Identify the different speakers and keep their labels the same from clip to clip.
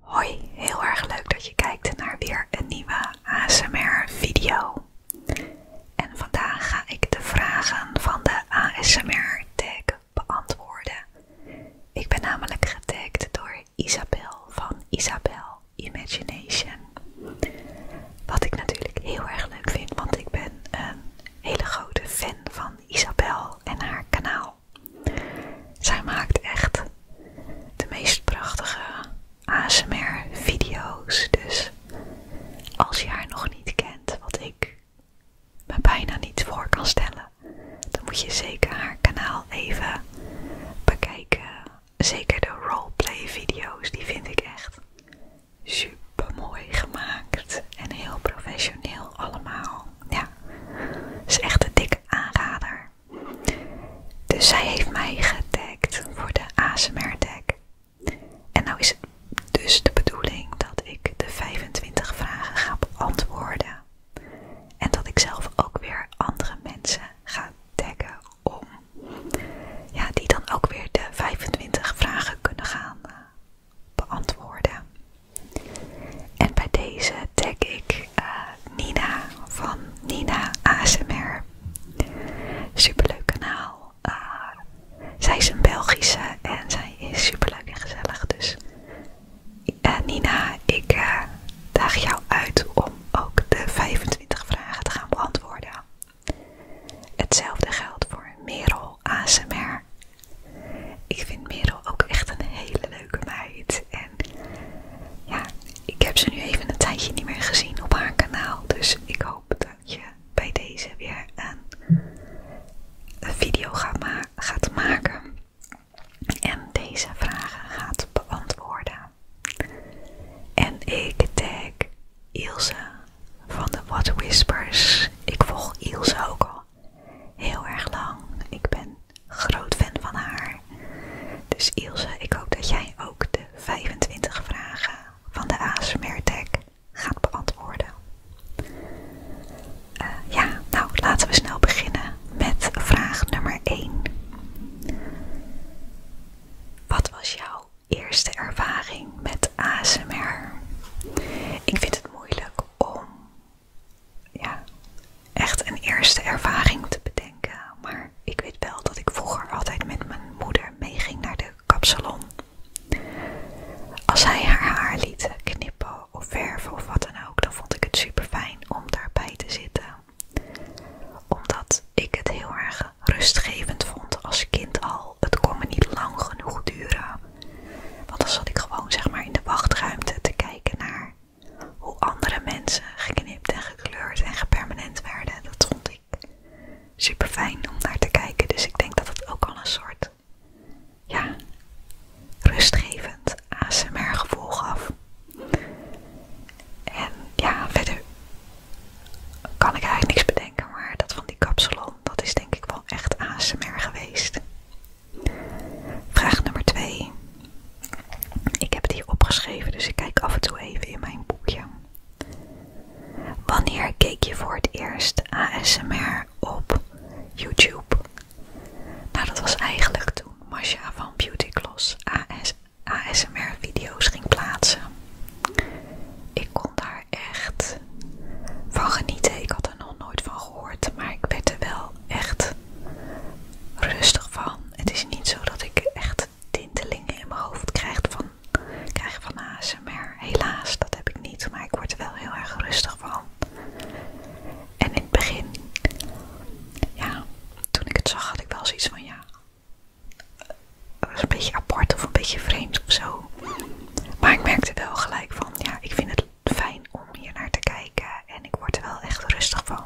Speaker 1: Hoi, heel erg leuk dat je kijkt naar weer een nieuwe ASMR video. En vandaag ga ik de vragen van de ASMR tag beantwoorden. Ik ben namelijk getagd door Isabel van Isabel Imagination. Wat ik natuurlijk heel erg leuk vind, want ik ben een hele grote fan van Isabel en haar kanaal. Zij maakt echt de meest prachtige ASMR-video's. Dus als je haar nog niet kent, wat ik me bijna niet voor kan stellen, dan moet je zeker haar kanaal even bekijken. Zeker de roleplay-video's, die vind ik echt super mooi gemaakt en heel professioneel allemaal. Ja, is echt een dik aanrader. Dus zij heeft mij getagd voor de ASMR tag. En nou is het dus de bedoeling dat ik de 25 vragen ga beantwoorden. En dat ik zelf ook weer andere mensen ga taggen om. Ja, die dan ook weer de 25 vragen kunnen gaan eh, beantwoorden. En bij deze tag ik eh, Nina van Nina ASMR. Superleuk kanaal. Eh, zij is een Belgische en zij is superleuk en gezellig. Dus eh, Nina, ik daag jou uit om ook de 25 vragen te gaan beantwoorden. Hetzelfde geldt voor Merel ASMR ik vind Merel ook echt een hele leuke meid. En ja, ik heb ze nu even een tijdje niet meer gezien op haar kanaal. Dus ik hoop dat je bij deze weer een, video gaat, maken. En deze vragen gaat beantwoorden. En ik tag Ilse van de What Whispers. Ik volg Ilse ook al heel erg lang. Ik ben groot fan van haar. Dus Ilse, ik hoop dat jij ook de 25 vragen van de ASMR Tag gaat beantwoorden. Eh, ja, nou laten we snel beginnen met vraag nummer 1. Wat was jouw eerste ervaring met ASMR? Ik vind het moeilijk om ja, echt een eerste ervaring te bedenken. Maar ik weet wel dat ik vroeger altijd met mijn moeder meeging naar de kapsalon. Als hij haar haar liet knippen of verven of wat dan ook, dan vond ik het super fijn om daarbij te zitten. Omdat ik het heel erg rustgevend vond als kind al. Het kon me niet lang genoeg duren. Want dan zat ik gewoon zeg maar in de wachtruimte te kijken naar hoe andere mensen geknipt en gekleurd en gepermanent werden. Dat vond ik super fijn om naar te kijken. Dus ik denk dat het ook al een soort ja, rustgevend ASMR gevoel gaf. En ja, verder kan ik eigenlijk niks bedenken, maar dat van die kapsalon, dat is denk ik wel echt ASMR geweest. Vraag nummer 2. Ik heb het hier opgeschreven, dus ik kijk af en toe even in mijn boekje. Wanneer keek je voor het eerst ASMR op YouTube? Nou, dat was eigenlijk toen Masha van Beauty Gloss ASMR-video's ging plaatsen. Ik kon daar echt van genieten. Ik had er nog nooit van maar ik werd er wel echt rustig van. Het is niet zo dat ik echt tintelingen in mijn hoofd krijg van, krijg van maar Helaas, dat heb ik niet, maar ik word er wel heel erg rustig van. En in het begin, ja, toen ik het zag had ik wel zoiets van ja, was was een beetje apart of een beetje vreemd of zo. Maar ik merkte wel gelijk van ja, ik vind het fijn om hier naar te kijken en ik word er wel echt rustig van.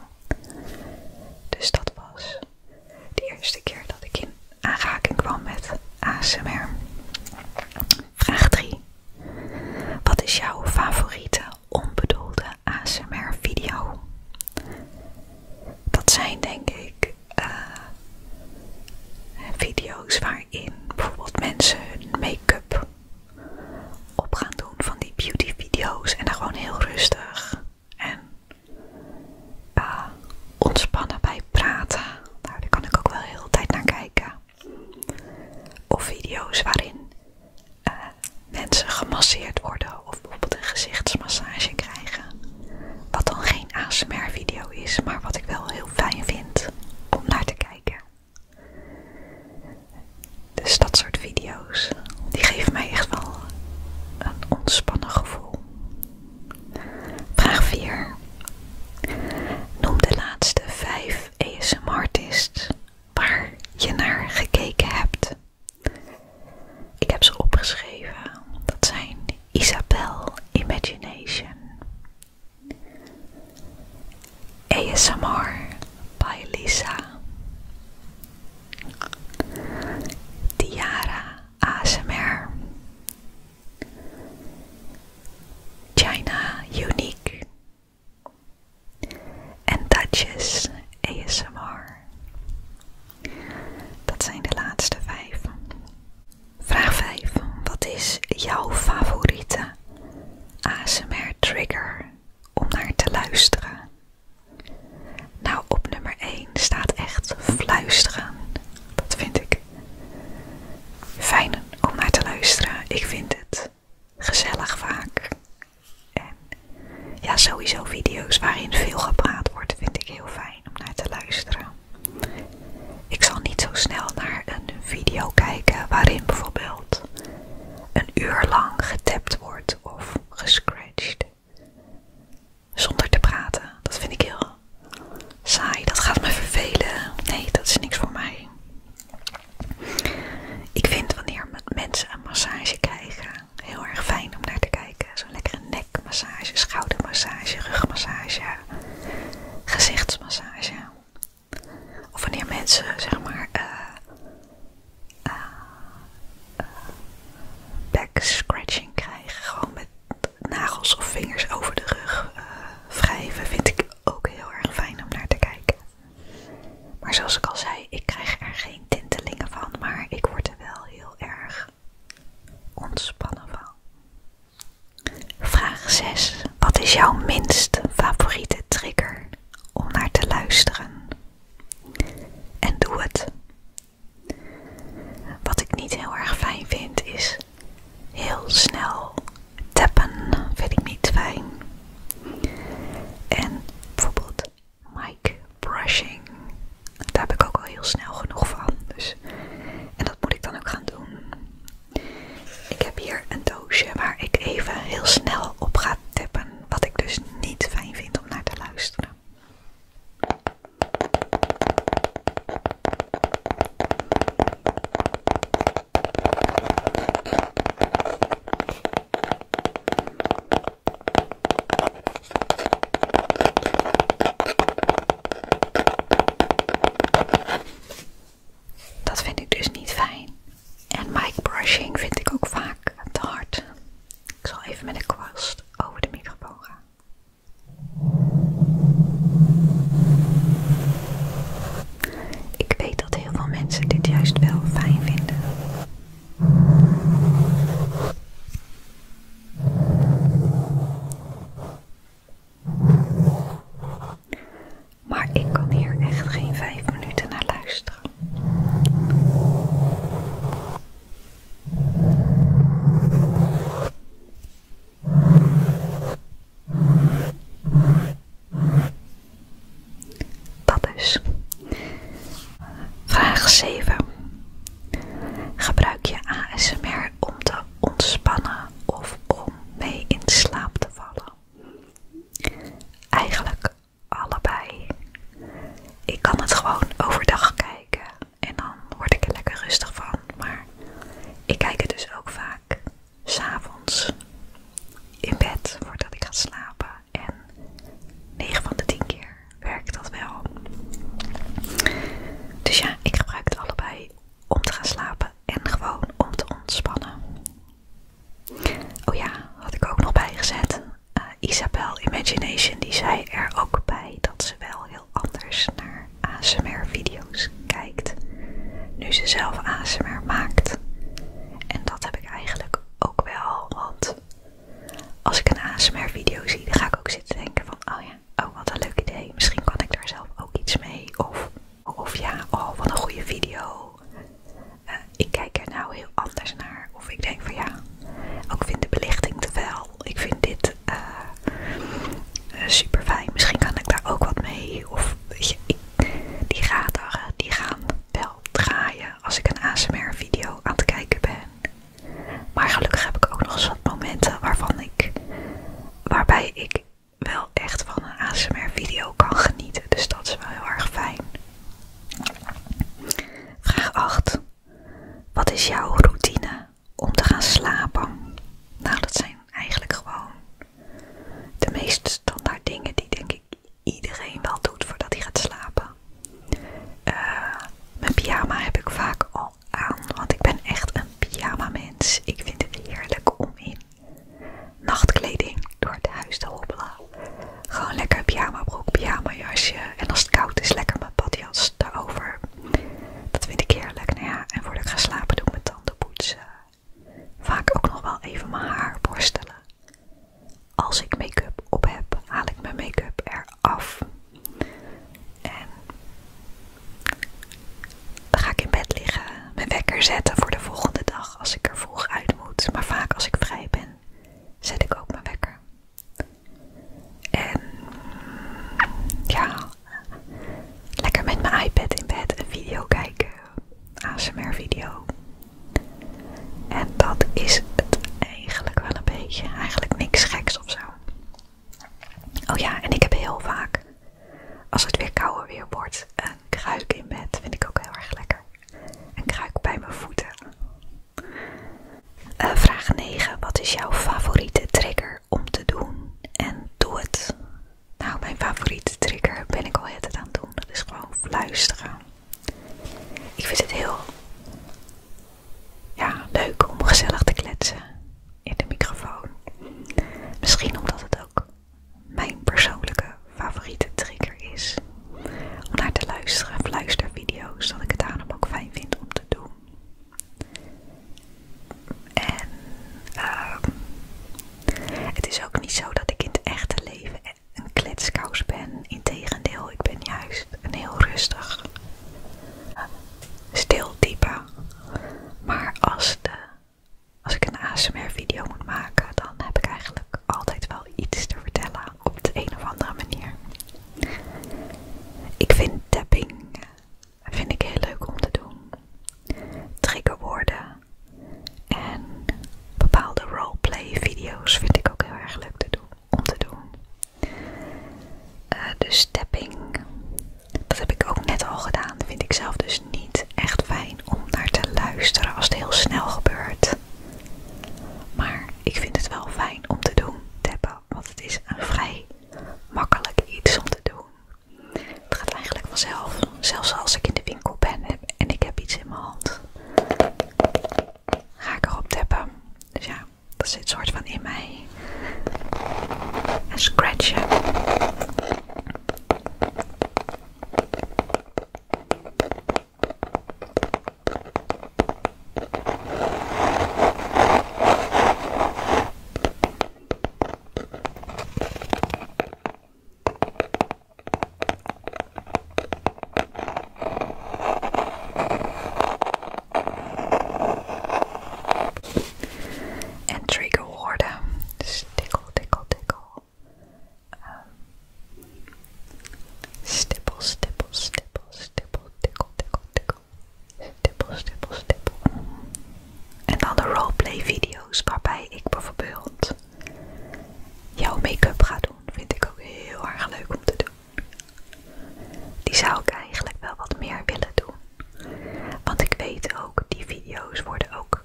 Speaker 1: Dus dat was de eerste keer dat ik in aanraking kwam met ASMR. Vraag 3. Wat is jouw favoriete onbedoelde ASMR-video? Dat zijn denk ik eh, video's waarin bijvoorbeeld mensen hun make-up op gaan doen van die beauty video's en dan gewoon heel rustig en eh, ontspannen bij praten. Nou, daar kan ik ook wel heel de tijd naar kijken. Of video's waarin eh, mensen gemasseerd worden of bijvoorbeeld een gezichtsmassage krijgen. Wat dan geen ASMR video is, maar wat ik wel heel fijn vind om naar te kijken. Dus dat soort video's, die geven mij echt wel een ontspannen gevoel. Vraag 4. Noem de laatste 5 ASM-artists waar je naar gekeken hebt. Ik heb ze opgeschreven. Dat zijn Isabel Imagination, ASMR by Lisa. Tiara ASMR. China Unique. En Touches ASMR. Dat zijn de laatste vijf. Vraag 5. Wat is jouw favoriete ASMR trigger om naar te luisteren? Nou, op nummer 1 staat echt fluisteren. Dat vind ik fijn om naar te luisteren. Ik vind het gezellig vaak. En ja, sowieso video's waarin veel gepraat wordt vind ik heel fijn om naar te luisteren. Ik zal niet zo snel naar een video kijken waarin bijvoorbeeld een uur lang getapt wordt of gescratcht. Zonder te praten. Dat vind ik heel saai. Dat gaat me vervelen. Nee, dat is niks voor mij. Ik vind wanneer mensen een massage krijgen heel erg fijn om naar te kijken. Zo'n lekkere nekmassage, schoudermassage, rugmassage, gezichtsmassage. Of wanneer mensen, zeg maar, eh, eh, eh, backscratching back scratching krijgen. Gewoon met nagels of vingers over de rug wrijven. Vind ik ook heel erg fijn om naar te kijken. Maar zoals ik al zei, ik krijg er geen tintelingen van. Maar ik word er wel heel erg ontspannen van. Vraag 6. Wat is jouw minst favoriete trigger om naar te luisteren? En doe het. Wat ik niet heel erg fijn vind is heel snel tappen. Vind ik niet fijn. En bijvoorbeeld mic brushing. Daar heb ik ook al heel snel genoeg van. Dus. En dat moet ik dan ook gaan doen. Ik heb hier een doosje waar ik even heel snel op ga tippen, wat ik dus niet fijn vind om naar te luisteren. Dat vind ik dus niet fijn. En mic brushing vind ik ook vaak te hard. Ik zal even met een kwast over de microfoon gaan. Ik weet dat heel veel mensen dit juist wel fijn vinden. Maar ik kan hier echt geen vijf minuten naar luisteren. Dat is. Vraag 7. Gebruik je ASMR om te ontspannen of om mee in slaap te vallen. Eigenlijk allebei. Ik kan het gewoon overdag kijken en dan word ik er lekker rustig van, maar ik kijk het dus ook vaak s'avonds in bed voordat ik ga slapen en 9 van de 10 keer werkt dat wel. Dus ja, ik gebruik het allebei om te gaan slapen en gewoon om te ontspannen. Oh ja, had ik ook nog bijgezet. Eh, Isabel Imagination die zei er ook bij dat ze wel heel anders naar ASMR-video's kijkt. Nu ze zelf ASMR maakt. En dat heb ik eigenlijk ook wel, want als ik een ASMR-video zie, dan ga ik ook zitten denken van, oh ja, oh wat een leuk idee, misschien kan ik daar zelf ook iets mee. Of, of ja, oh wat een goede video. Eh, ik kijk er nou heel anders naar. Of ik denk van ja, ook vind de belichting te wel. Ik vind dit eh, eh, super fijn. Misschien kan ik daar ook wat mee. Of weet je, die gaten gaan wel draaien als ik een ASMR video aan het kijken ben. Maar gelukkig heb ik ook nog eens wat momenten waarvan ik waarbij ik wel echt van een ASMR video kan genieten. Dus dat is wel heel erg fijn. Vraag 8. Wat is jouw routine om te gaan slapen? Nou, dat zijn eigenlijk gewoon de meest standaard dingen die denk ik iedereen wel doet voordat hij gaat slapen. Eh, mijn pyjama heb ik vaak al aan, want ik ben echt een pyjama mens. Ik vind het heerlijk om in nachtkleding door het huis te hobbelen. Gewoon lekker pyjama broek, pyjama jasje en als het koud is lekker mijn badjas daarover. Dat vind ik heerlijk. Nou ja, en voordat ik gaan slapen doe ik mijn tanden poetsen. Vaak ook nog wel even mijn haar borstelen. Als ik make-up op heb, haal ik mijn make-up eraf. En dan ga ik in bed liggen, mijn wekker zetten voor de volgende dag als ik er vroeg uit moet. Maar vaak als ik vrij ben, zet ik ook mijn wekker. En ja, lekker met mijn iPad in bed een video kijken, ASMR video. En dat is het eigenlijk wel een beetje, eigenlijk niks geks of zo. Oh ja, en ik heb heel vaak, als het weer kouder weer wordt, een kruik in bed. Vind ik ook heel erg lekker. Een kruik bij mijn voeten. Eh, vraag 9. Wat is jouw favoriete trigger om te doen? En doe het. Nou, mijn favoriete trigger ben ik al het aan het doen. Dat is gewoon fluisteren. Ik vind het heel ja, leuk om gezellig te kletsen in de microfoon. Misschien omdat het ook mijn persoonlijke favoriete trigger is om naar te luisteren of luistervideo's, dat ik het daarom ook fijn vind om te doen. En ehm, het is ook niet zo dat ik in het echte leven een kletskous ben. Integendeel, ik ben juist een heel rustig, stil type maar als, de, als ik een ASMR video moet maken, dan heb ik eigenlijk altijd wel iets te vertellen op de een of andere manier. Ik vind tapping eh, vind ik heel leuk om te doen. Triggerwoorden en bepaalde roleplay video's vind ik ook heel erg leuk te doen, om te doen. Eh, de stepping, dat heb ik ook net al gedaan. vind ik zelf dus niet echt fijn om naar te luisteren als het heel snel gebeurt. Maar ik vind het wel fijn om te doen, tappen, want het is een vrij makkelijk iets om te doen. Het gaat eigenlijk vanzelf, zelfs als ik in de winkel ben en ik heb iets in mijn hand. Ga ik erop tappen. Dus ja, dat zit soort van in mij. En scratchen. En triggerwoorden. Dus tikkel, tikkel, tikkel. stipple, ehm, stippel, stippel, stippel, stippel, tikkel, tikkel, Stippel, stippel, stippel. En dan de roleplay video's waarbij ik bijvoorbeeld jouw make-up ga doen. Vind ik ook heel erg leuk om te doen. Die zou ik eigenlijk wel wat meer willen doen. Want ik weet ook, die video's worden ook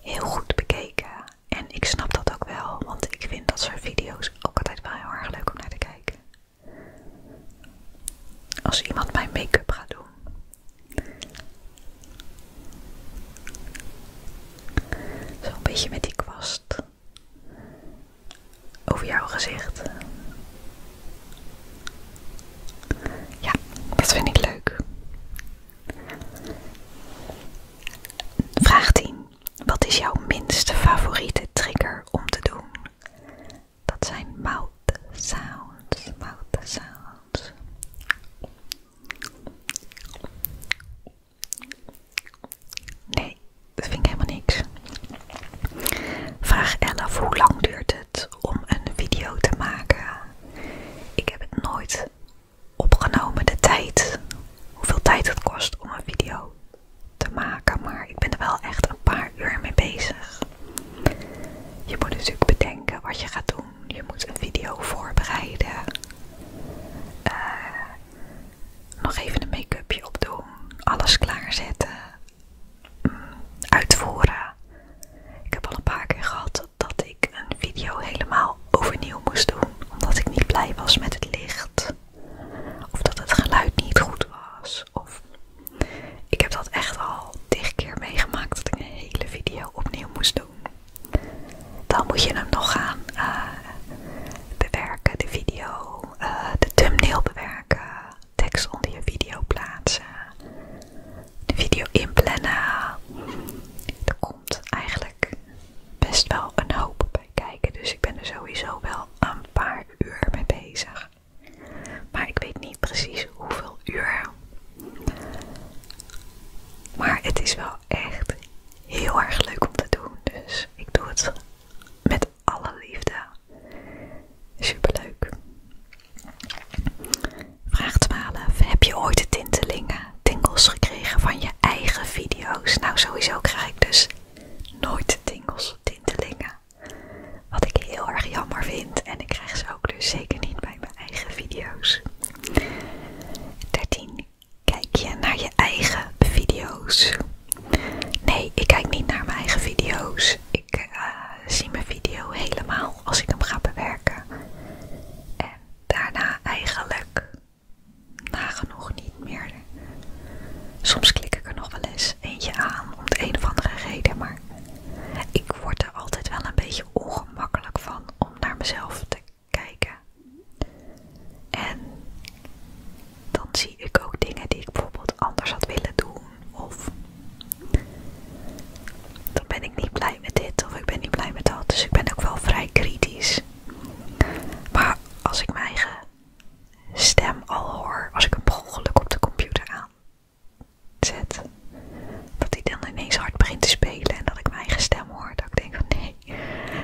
Speaker 1: heel goed bekeken. En ik snap dat ook wel, want ik vind dat soort video's ook altijd wel heel erg leuk om naar te kijken. Als iemand mijn make-up gaat doen. Zo'n beetje met die kwast over jouw gezicht. Ja, dat vind ik leuk. Vraag 10. Wat is jouw minste favoriete trigger om te doen? Dat zijn mouth sounds, mouth sounds. Nee, dat vind ik helemaal niks. Vraag 11. Hoe lang duurt het om een video te maken? Ik heb het nooit opgenomen, de tijd. Hoeveel tijd het kost om een video te maken. Maar ik ben er wel echt een paar uur mee bezig. Je moet natuurlijk bedenken wat je gaat doen. Je moet een video voorbereiden. Eh, nog even een make-upje opdoen. Alles klaarzetten uitvoeren. Ik heb al een paar keer gehad dat ik een video helemaal overnieuw moest doen, omdat ik niet blij was met het licht, of dat het geluid niet goed was. Of ik heb dat echt al tig keer meegemaakt dat ik een hele video opnieuw moest doen. Dan moet je hem nog gaan eh, bewerken, de video, eh, de thumbnail bewerken, tekst onder je video plaatsen, de video inplannen. Er komt eigenlijk best wel een hoop bij kijken, dus ik ben er sowieso wel een paar uur mee bezig. Maar ik weet niet precies hoeveel uur. Maar het is wel echt heel erg leuk om te doen, dus ik doe het met alle liefde. Superleuk. Vraag 12. Heb je ooit de tintelingen, tingels gekregen van je eigen video's? Nou, sowieso krijg ik dus nooit tingels, tintelingen. Wat ik heel erg jammer vind. En ik krijg ze ook dus zeker niet bij mijn eigen video's. 13. Kijk je naar je eigen video's? Nee, ik kijk niet naar mijn eigen video's. Ik eh, zie mijn video helemaal als ik hem ga bewerken. En daarna eigenlijk nagenoeg niet meer. Soms klik ik er nog wel eens eentje aan om de een of andere reden, maar ik word er altijd wel een beetje ongemakkelijk van om naar mezelf te kijken. En dan zie ik ook dingen die ik bijvoorbeeld anders had willen doen. Of dan ben ik niet blij met dit of ik ben niet blij met dat. Dus ik ben ook wel vrij kritisch. Maar als ik mijn eigen stem al hoor, als ik hem ongeluk op de computer aan zet, dat hij dan ineens hard begint te spelen en dat ik mijn eigen stem hoor, dat ik denk van nee,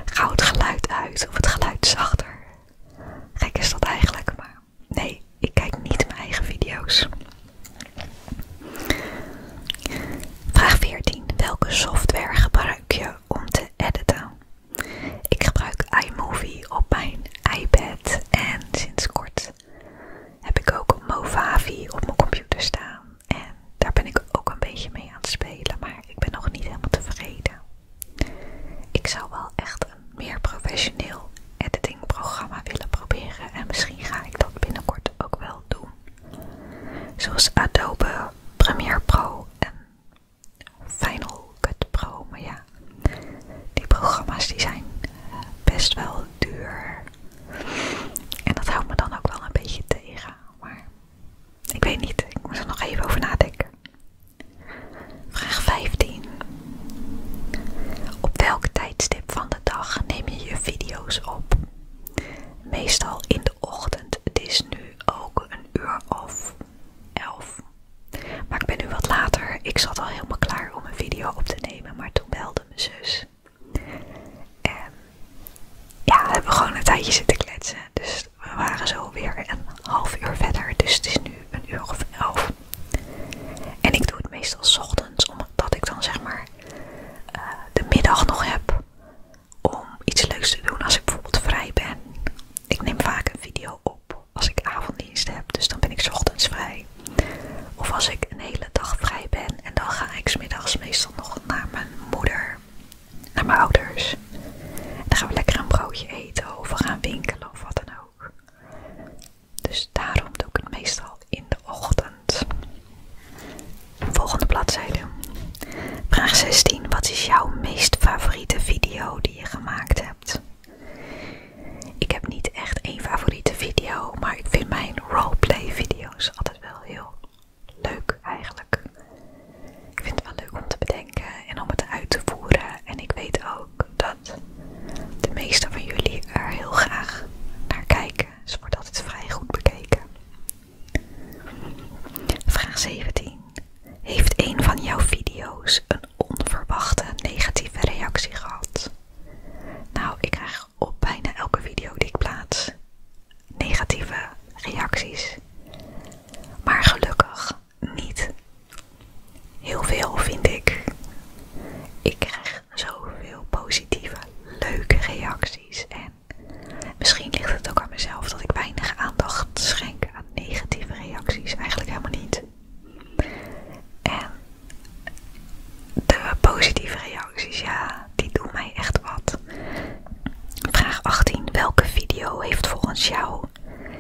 Speaker 1: gauw het geluid uit of het geluid zachter. Gek is dat eigenlijk, maar nee, ik kijk niet mijn eigen video's. Vraag 14. Welke software gebruik je om te editen? Ik gebruik iMovie op mijn iPad en sinds kort heb ik ook Movavi op mijn computer staan. En daar ben ik ook een beetje mee aan het spelen, maar ik ben nog niet helemaal tevreden. Ik zou wel echt een meer professioneel editingprogramma willen proberen en misschien ga ik dat binnenkort ook wel doen. Zoals Adobe Premiere Pro en Final Cut Pro, maar ja, die programma's die zijn best wel duur. En dat houdt me dan ook wel een beetje tegen, maar ik weet niet, ik moet er nog even over nadenken. Vraag 15. Op welk tijdstip van de dag neem je je video's op? Meestal in de ochtend. Het is nu ook een uur of elf. Maar ik ben nu wat later. Ik zat al helemaal klaar om een video op te nemen, maar toen belde mijn zus. En ja, we hebben gewoon een tijdje zitten kletsen. Dus we waren zo weer een half uur verder. Dus het is nu een uur of elf. En ik doe het meestal s ochtends, omdat ik dan zeg maar eh, de middag nog heb om iets leuks te doen als ik bijvoorbeeld vrij ben. Ik neem vaak een video op als ik avonddienst heb, dus dan ben ik s ochtends vrij. Of als ik een hele dag vrij ben en dan ga ik 's middags meestal nog naar mijn moeder naar mijn ouders. dan gaan we lekker een broodje eten of we gaan winkelen of wat dan ook. Dus daarom doe ik het meestal in de ochtend. Volgende bladzijde. Vraag 16. Wat is jouw meest favoriete video die je gemaakt hebt? Ik heb niet echt één favoriete video, maar ik vind mijn roleplay video's altijd wel heel leuk eigenlijk. Ik vind het wel leuk om te bedenken en om het uit te voeren. En ik weet ook dat de meeste van jullie er heel graag naar kijken. zodat wordt altijd vrij goed bekeken. Vraag 17. Heeft een van jouw video's een onverwachte negatieve reactie gehad? Nou, ik krijg op bijna elke video die ik plaats negatieve reacties. Maar gelukkig niet heel veel, vind ik. Ik krijg zoveel positieve, leuke reacties. En misschien ligt het ook aan mezelf dat ik weinig aandacht schenk aan negatieve reacties. Eigenlijk helemaal niet. En de positieve reacties, ja, die doen mij echt wat. Vraag 18. Welke video heeft volgens jou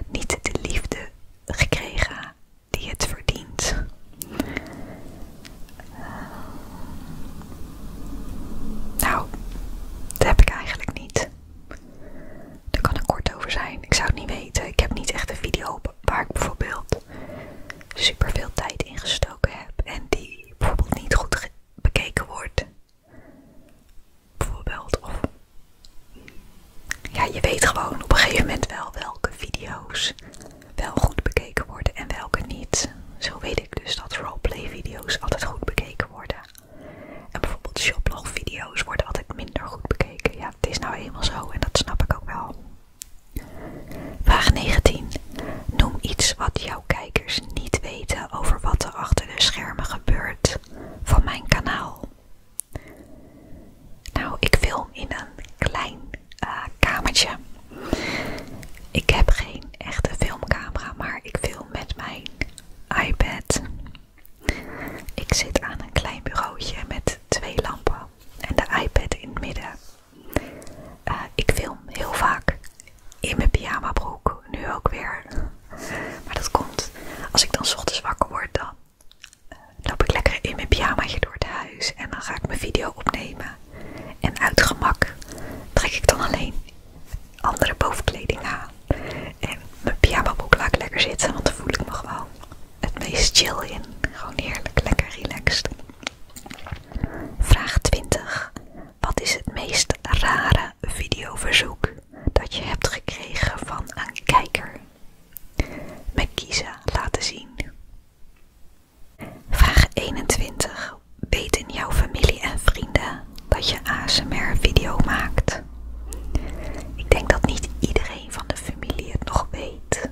Speaker 1: niet de liefde gekregen die het verdient. Nou, dat heb ik eigenlijk niet. Daar kan ik kort over zijn. Ik zou het niet weten. Ik heb niet echt een video op waar ik bijvoorbeeld super veel tijd in gestoken heb en die bijvoorbeeld niet goed bekeken wordt. Bijvoorbeeld. Of ja, je weet gewoon op een gegeven moment wel welke video's wel goed bekeken worden en welke niet. Zo weet ik dus dat roleplay video's altijd goed bekeken worden. En bijvoorbeeld shoplog video's worden altijd minder goed bekeken. Ja, het is nou eenmaal zo en dat snap ik ook wel. Vraag 19. Noem iets wat jouw kijkers niet weten over wat er achter de schermen gebeurt van mijn kanaal. Nou, ik film in een klein eh, kamertje. Ik heb geen echte filmcamera, maar ik film met mijn iPad. Ik zit aan een klein bureautje met twee lampen en de iPad in het midden. Eh, ik film heel vaak in mijn pyjamabroek, nu ook weer. Maar dat komt, als ik dan s ochtends wakker word, dan eh, loop ik lekker in mijn pyjamaatje door het huis. En dan ga ik mijn video opnemen. En uit gemak trek ik dan alleen andere bovenkleding aan. En mijn pyjamabroek laat ik lekker zitten, want dan voel ik me gewoon het meest chill in. Gewoon heerlijk, lekker relaxed. Vraag 20. Wat is het meest rare videoverzoek dat je hebt gekregen van een kijker. Met kiezen laten zien. Vraag 21. Weten jouw familie en vrienden dat je ASMR-video maakt? Ik denk dat niet iedereen van de familie het nog weet.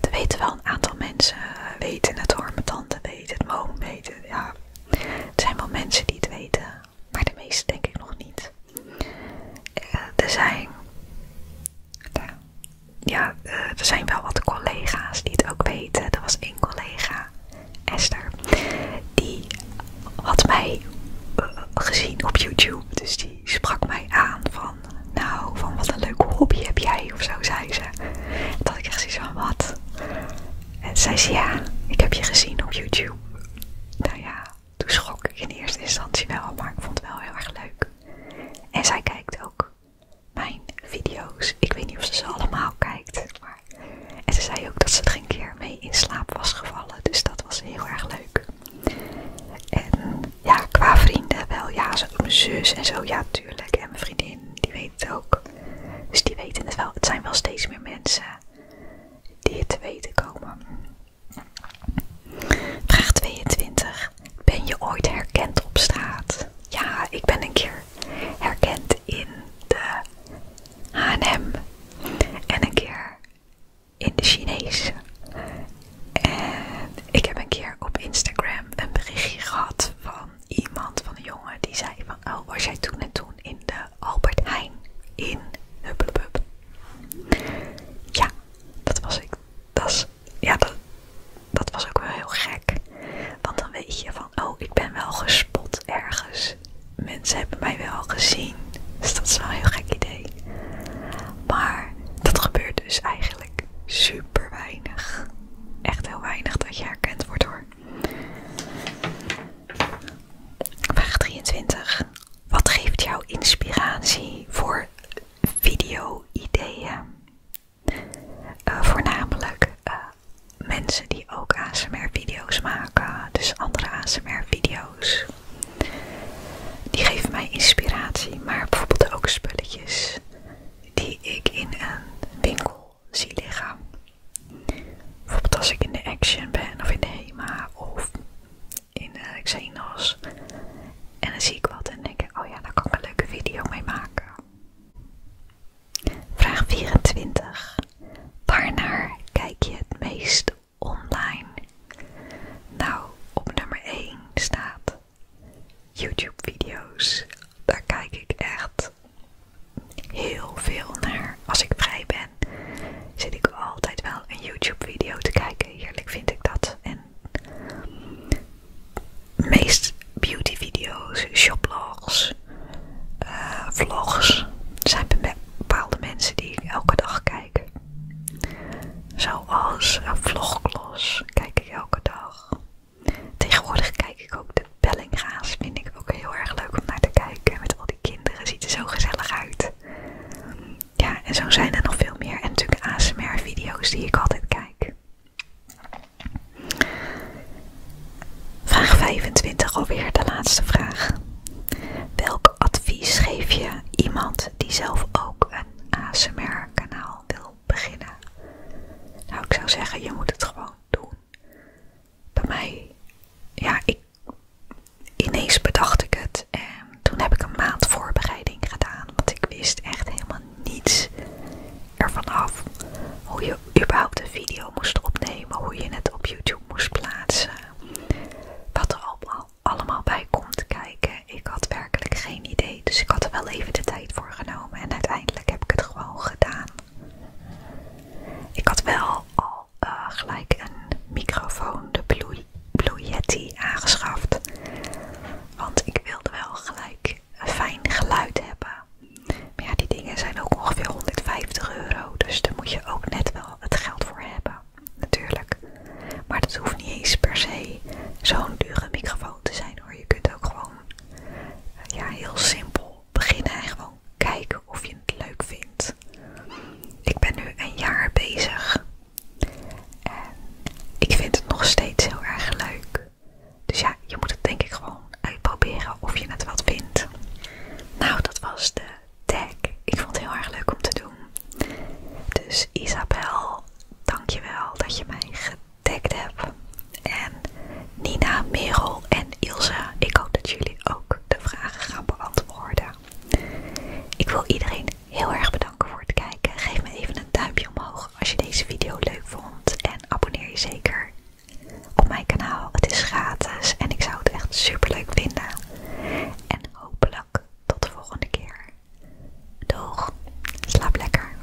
Speaker 1: Er weten wel een aantal mensen eh, weten het hoor. Mijn tante weet het, mijn weet Ja. Het zijn wel mensen die het weten maar de meeste denk ik nog niet. Eh, er zijn, eh, ja, eh, er zijn wel wat collega's die het ook weten. Er was één collega, Esther, die had mij gezien op YouTube. Dus die sprak mij aan van, nou, van wat een leuke hobby heb jij of zo, zei ze. Dat ik echt zoiets van, wat? En zei ze, ja, ik heb je gezien op YouTube. Nou ja, toen schrok ik in eerste instantie wel, maar ik vond het wel heel erg leuk. En zij kijkt ook mijn video's. Ik weet niet of ze ze allemaal kijkt, maar... En ze zei ook dat ze er geen keer mee in slaap was gevallen, dus dat was heel erg leuk. En ja, qua vrienden wel, ja, mijn zus en zo, ja, tuurlijk. En mijn vriendin, die weet ook. Dus die weten het wel. Het zijn wel steeds meer mensen die het te weten komen. Vraag 22. Ben je ooit herkend op straat? Ja, ik ben een keer herkend in de H&M en een keer in de Chinese. En ik heb een keer op Instagram een berichtje gehad van iemand, van een jongen, die zei van, oh, was jij toen en toen in de Albert Heijn in Huppelpup. Ja, dat was ik. Dat is, ja, dat, dat was ook wel heel gek. Want dan weet je van, oh, ik ben wel gespot ergens. Mensen hebben mij wel gezien. Dus dat is wel een heel gek idee. Maar dat gebeurt dus eigenlijk super weinig. Echt heel weinig dat je herkend wordt hoor. Vraag 23. Wat geeft jou inspiratie voor video-ideeën? Eh, voornamelijk eh, mensen die ook ASMR-video's maken, dus andere ASMR-video's. Die geven mij inspiratie, maar bijvoorbeeld ook spulletjes die ik in een winkel al Bijvoorbeeld als ik in de Action ben of in de HEMA of in de eh, Xenos. En dan zie ik wat en denk ik, oh ja, daar kan ik een leuke video mee maken. Vraag 24. Waarnaar kijk je het meest online? Nou, op nummer 1 staat YouTube video's. Daar kijk ik echt heel veel naar. Als ik vrij ben, zit ik altijd wel een YouTube-video te kijken. Heerlijk vind ik dat. En meest beauty-video's, shoplogs, eh, vlogs zijn bepaalde mensen die ik elke dag kijk. Zoals een eh, vlogklos kijk ik elke dag. Tegenwoordig kijk ik ook de Bellinga's, vind ik ook heel erg leuk om naar te kijken. Met al die kinderen, ziet er zo gezellig uit. Ja, en zo zijn er nog veel meer. En natuurlijk ASMR-video's die ik altijd kijk. Vraag 25 weer de laatste vraag. Welk advies geef je iemand die zelf ook een ASMR-kanaal wil beginnen? Nou, ik zou zeggen, je moet het gewoon doen bij mij, ja, ineens bedacht ik het. En toen heb ik een maand voorbereiding gedaan, want ik wist echt helemaal niets ervan af. Hoe je überhaupt een video moest opnemen, hoe je het op YouTube moest plaatsen. Wat er allemaal, allemaal bij komt kijken. Ik had werkelijk geen idee, dus ik had er wel even de tijd voor genomen. En uiteindelijk heb ik het gewoon gedaan. Ik had wel al eh, gelijk een microfoon, de Blue, Yeti, aangeschaft. Want ik wilde wel gelijk een fijn geluid hebben. Maar ja, die dingen zijn ook ongeveer 150 euro. Dus daar moet je ook net wel het geld voor hebben. Natuurlijk. Maar dat hoeft niet eens per se zo'n dure microfoon te zijn hoor. Je kunt ook gewoon eh, ja, heel simpel beginnen en gewoon kijken of je het leuk vindt. Ik ben nu een jaar bezig en ik vind het nog steeds heel erg leuk. Dus ja, je moet het denk ik gewoon uitproberen of je het wat vindt. Nou, dat was de tag. Ik vond het heel erg leuk om te doen. Dus Isabel, dankjewel dat je mij getagd heb. En Nina, Merel en Ilse. ik hoop dat jullie ook de vragen gaan beantwoorden. Ik wil iedereen heel erg bedanken voor het kijken. Geef me even een duimpje omhoog als je deze video leuk vond. En abonneer je zeker op mijn kanaal. Het is gratis en ik zou het echt super leuk vinden. En hopelijk tot de volgende keer. Doeg, slaap lekker.